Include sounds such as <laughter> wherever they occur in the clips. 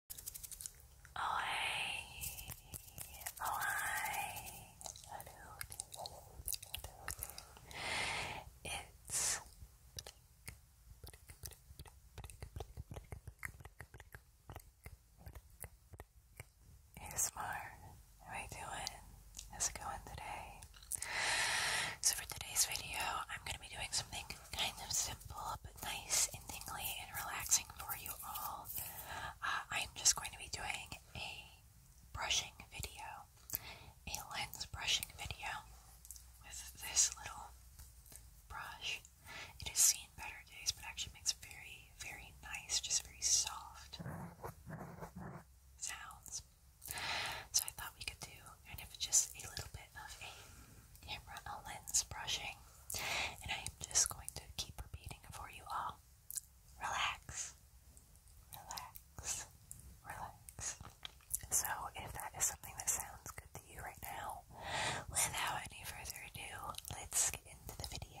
Oi, oi, it's Hey how are you doing? How's it going today? So for today's video, I'm gonna be doing something kind of simple but nice and and relaxing for you all. Uh, I'm just going to be doing a brushing video, a lens brushing video with this little brush. It has seen better days, but actually makes very, very nice, just very soft sounds. So I thought we could do kind of just a little bit of a camera lens brushing, and I am just going to keep repeating for you all. Relax, relax, relax. So, if that is something that sounds good to you right now, without any further ado, let's get into the video.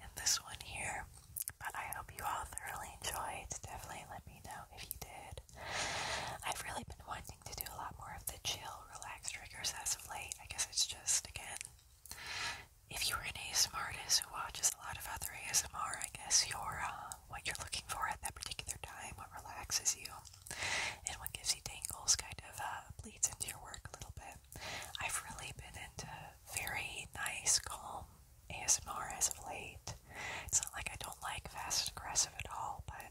and this one here. But I hope you all thoroughly enjoyed. Definitely let me know if you did. I've really been wanting to do a lot more of the chill, relaxed triggers as of late. I guess it's just, again, if you're an ASMR artist who watches a lot of other ASMR, I guess you're uh, what you're looking for at that particular time, what relaxes you, and what gives you tingles kind of uh, bleeds into your work a little bit. I've really been into very nice, calm ASMR as of late. It's not like I don't like fast and aggressive at all, but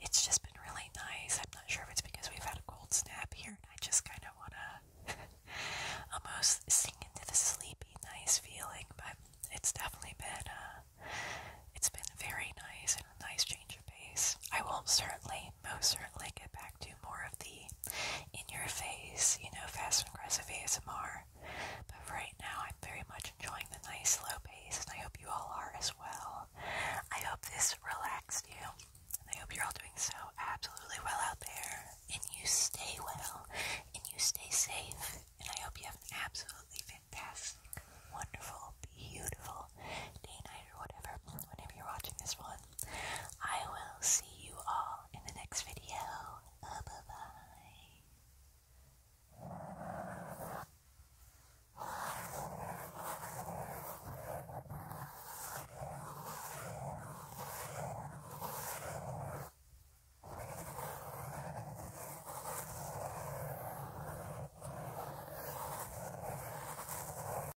it's just been really nice. I'm not sure if it's because we've had a cold snap here and I just kind of want to <laughs> almost sink into the sleepy, nice feeling, but it's definitely been, uh, it's been very nice and a nice change of pace. I will certainly, most certainly get back to more of the in your face, you know, fast and aggressive ASMR. But right now, I'm very much enjoying the nice slow pace, and I hope you all are as well. I hope this relaxed you, and I hope you're all doing so absolutely well out there. And you stay well, and you stay safe, and I hope you have an absolutely fantastic, wonderful, beautiful day, night, or whatever, whenever you're watching this one. I will see you all in the next video. bye bye.